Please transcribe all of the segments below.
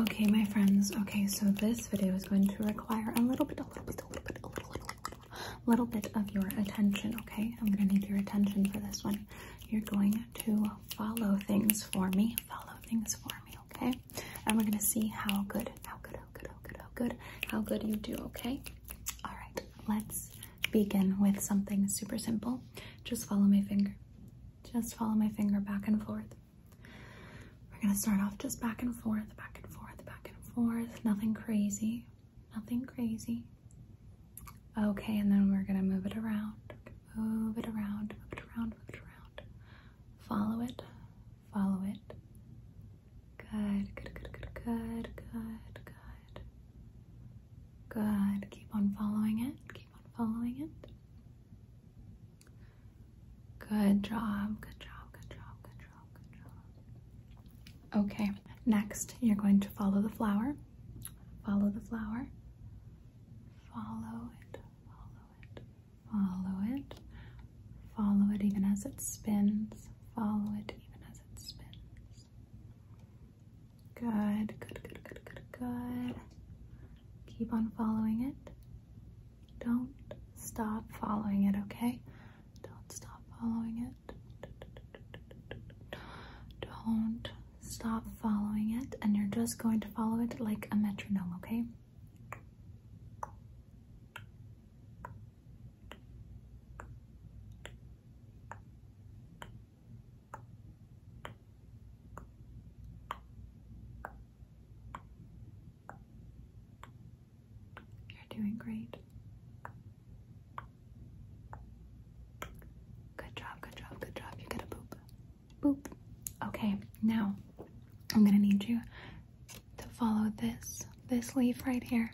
Okay, my friends. Okay, so this video is going to require a little bit, a little bit, a little bit, a little, little, little bit of your attention. Okay, I'm gonna need your attention for this one. You're going to follow things for me. Follow things for me. Okay, and we're gonna see how good, how good, how good, how good, how good, how good you do. Okay. All right. Let's begin with something super simple. Just follow my finger. Just follow my finger back and forth. We're gonna start off just back and forth, back and forth, back and forth. Nothing crazy, nothing crazy. Okay, and then we're gonna move it around, move it around, move it around, move it around. Follow it, follow it. Good, good, good, good, good, good, good. Good. Keep on following it following it. Good job, good job, good job, good job, good job. Okay, next you're going to follow the flower. Follow the flower. Follow it, follow it, follow it. Follow it even as it spins. Follow it even as it spins. good, good, good, good, good. Keep on following it. Don't stop following it, okay? Don't stop following it. Don't stop following it. And you're just going to follow it like a metronome, okay? You're doing great. Good job, good job, good job. You get a boop. Boop. Okay, now I'm gonna need you to follow this, this leaf right here.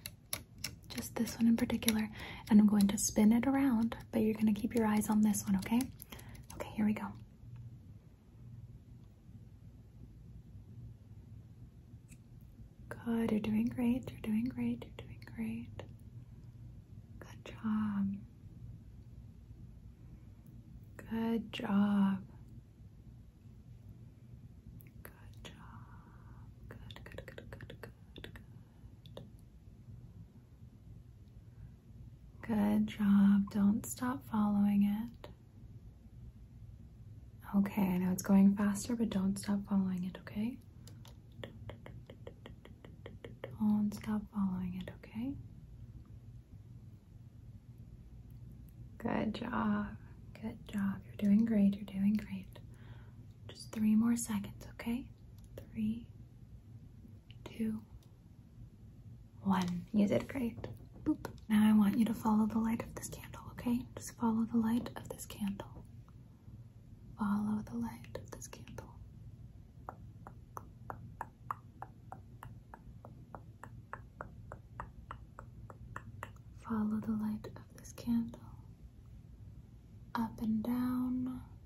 Just this one in particular. And I'm going to spin it around, but you're gonna keep your eyes on this one, okay? Okay. here we go. Good. You're doing great. You're doing great. You're doing great. Good job. Good job. Good job. Good, good, good, good, good, good. Good job. Don't stop following it. Okay, I know it's going faster, but don't stop following it, okay? Don't stop following it, okay? Good job. Good job. You're doing great. You're doing great. Just three more seconds, okay? Three, two, one. You did great. Now I want you to follow the light of this candle, okay? Just follow the light of this candle. Follow the light of this candle. Follow the light of this candle up and down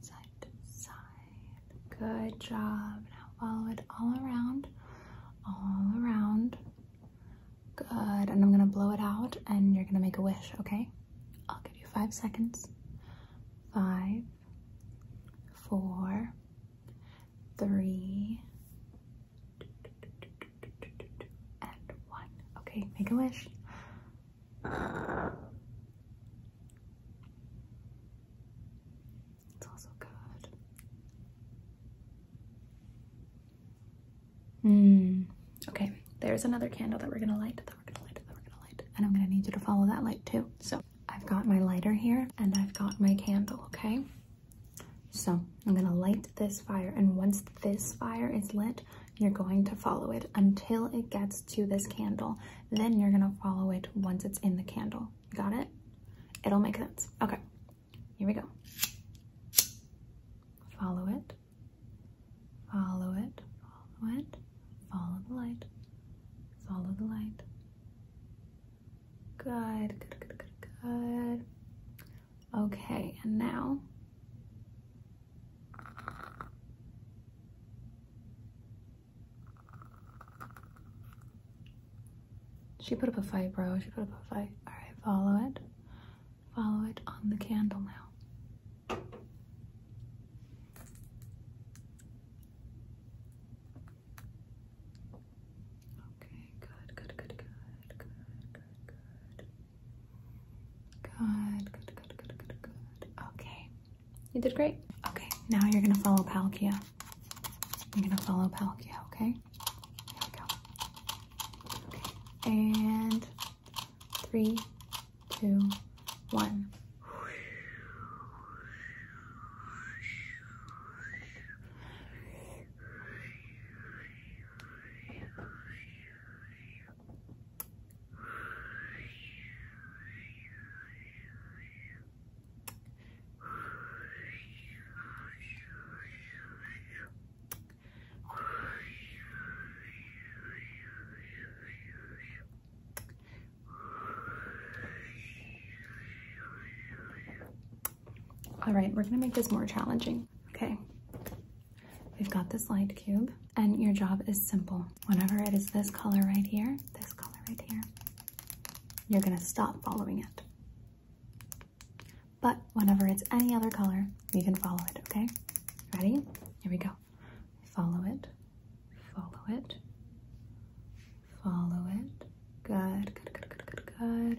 side to side. Good job. Now follow it all around, all around. Good. And I'm gonna blow it out and you're gonna make a wish, okay? I'll give you five seconds. Five, four, three, and one. Okay, make a wish. It's also good. Mm. Okay, there's another candle that we're gonna light, that we're gonna light, that we're gonna light. And I'm gonna need you to follow that light too. So I've got my lighter here and I've got my candle, okay? So I'm gonna light this fire. And once this fire is lit, you're going to follow it until it gets to this candle. Then you're gonna follow it once it's in the candle. Got it? It'll make sense. Okay, here we go. Follow it, follow it, follow it, follow the light, follow the light. Good, good, good, good, Okay, and now she put up a fight, bro. She put up a fight. Alright, follow it. Follow it on the candle now. Okay, good, good, good, good, good, good, Good, good, good, good, good, good. Okay. You did great. Okay, now you're gonna follow Palkia. You're gonna follow Palkia, okay? Here we go. Okay. And three, two, one. All right, we're gonna make this more challenging. Okay, We've got this light cube, and your job is simple. Whenever it is this color right here, this color right here, you're gonna stop following it. But whenever it's any other color, you can follow it, okay? Ready? Here we go. Follow it, follow it, follow it. Good, good, good, good, good, good.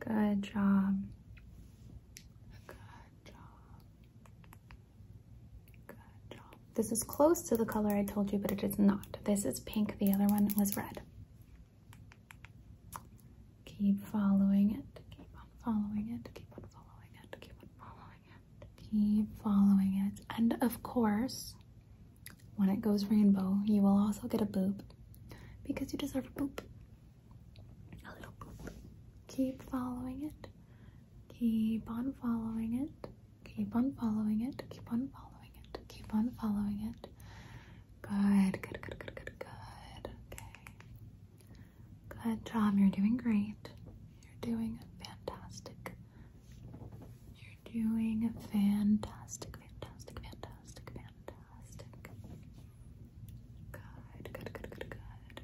Good job. Good job. Good job. This is close to the color I told you, but it is not. This is pink. The other one was red. Keep following it. Keep on following it. Keep on following it. Keep on following it. Keep following it. And of course, when it goes rainbow, you will also get a boop because you deserve a boop. A little boop. Keep following it. Keep on following it. Keep on following it. Keep on following it. Keep on following it. Good, good, good, good, good, good. Okay. Good job. You're doing great. You're doing fantastic. You're doing fantastic, fantastic, fantastic, fantastic. Good, good, good, good, good.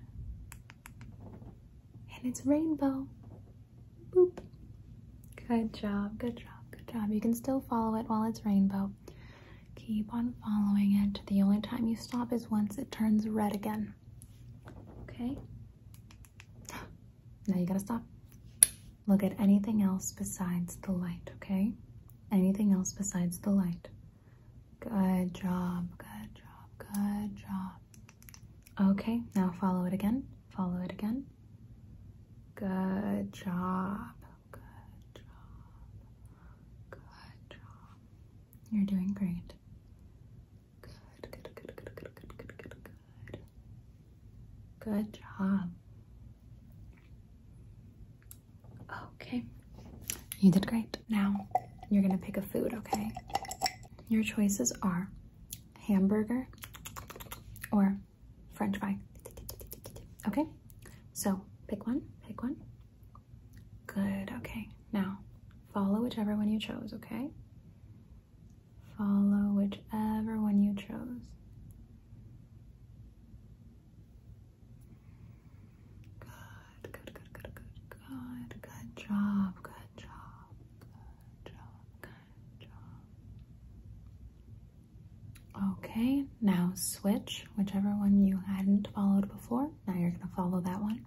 And it's rainbow. Boop. Good job, good job, good job. You can still follow it while it's rainbow. Keep on following it. The only time you stop is once it turns red again. Okay? Now you gotta stop. Look at anything else besides the light, okay? Anything else besides the light. Good job, good job, good job. Okay, now follow it again. Follow it again. Good job, good job, good job. You're doing great. Good, good, good, good, good, good, good, good, Good job. Okay. You did great. Now, you're gonna pick a food, okay? Your choices are hamburger or french fry. Okay? So, pick one, pick one. Good, okay. Now, follow whichever one you chose, okay? Follow whichever one you chose. Good, good, good, good, good, good. Good job, good job, good job, good job. Okay, now switch whichever one you hadn't followed before. Now you're going to follow that one.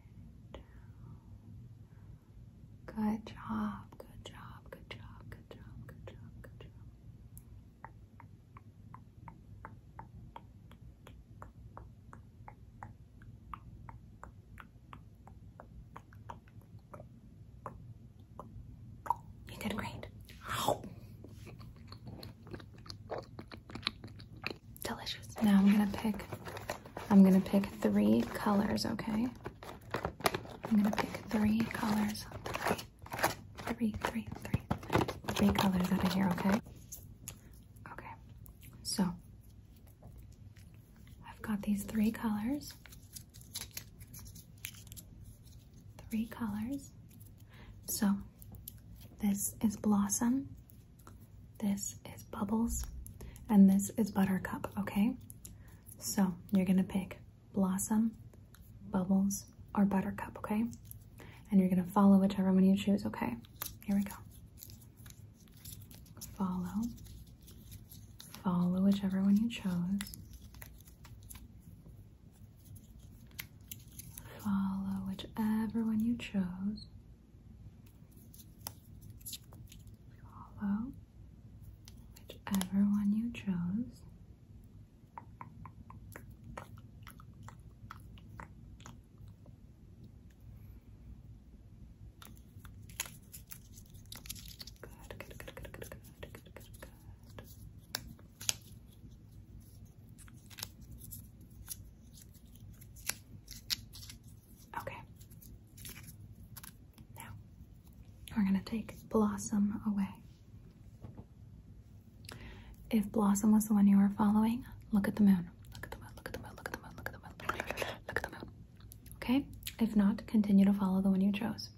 down. Good job, good job, good job, good job, good job, good job. You did great. Delicious. Now I'm gonna pick I'm gonna pick three colors, okay? I'm gonna pick three colors. Three, three, three, three colors out of here, okay? Okay, so I've got these three colors. Three colors. So this is Blossom. This is Bubbles. And this is Buttercup, okay? So you're gonna pick Blossom, Bubbles, or Buttercup, okay? And you're gonna follow whichever one you choose, okay? Here we go. Follow. Follow whichever one you chose. Follow whichever one you chose. Follow whichever one you chose. Good, good, good, good, good, good, good, good, Okay. Now, we're going to take Blossom away. If Blossom was the one you were following, look at the moon. Look at the moon, look at the moon, look at the moon, look at the moon, look at the moon. Look at the moon. Okay? If not, continue to follow the one you chose.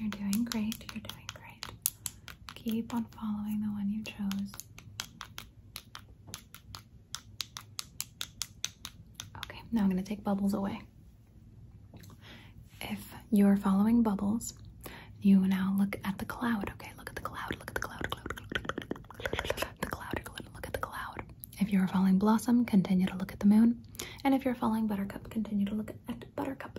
You're doing great. You're doing great. Keep on following the one you chose. Okay, now I'm going to take bubbles away. If you are following bubbles, you now look at the cloud. Okay, look at the cloud. Look at the cloud. the cloud. Look at the cloud. If you are following blossom, continue to look at the moon. And if you're following buttercup, continue to look at buttercup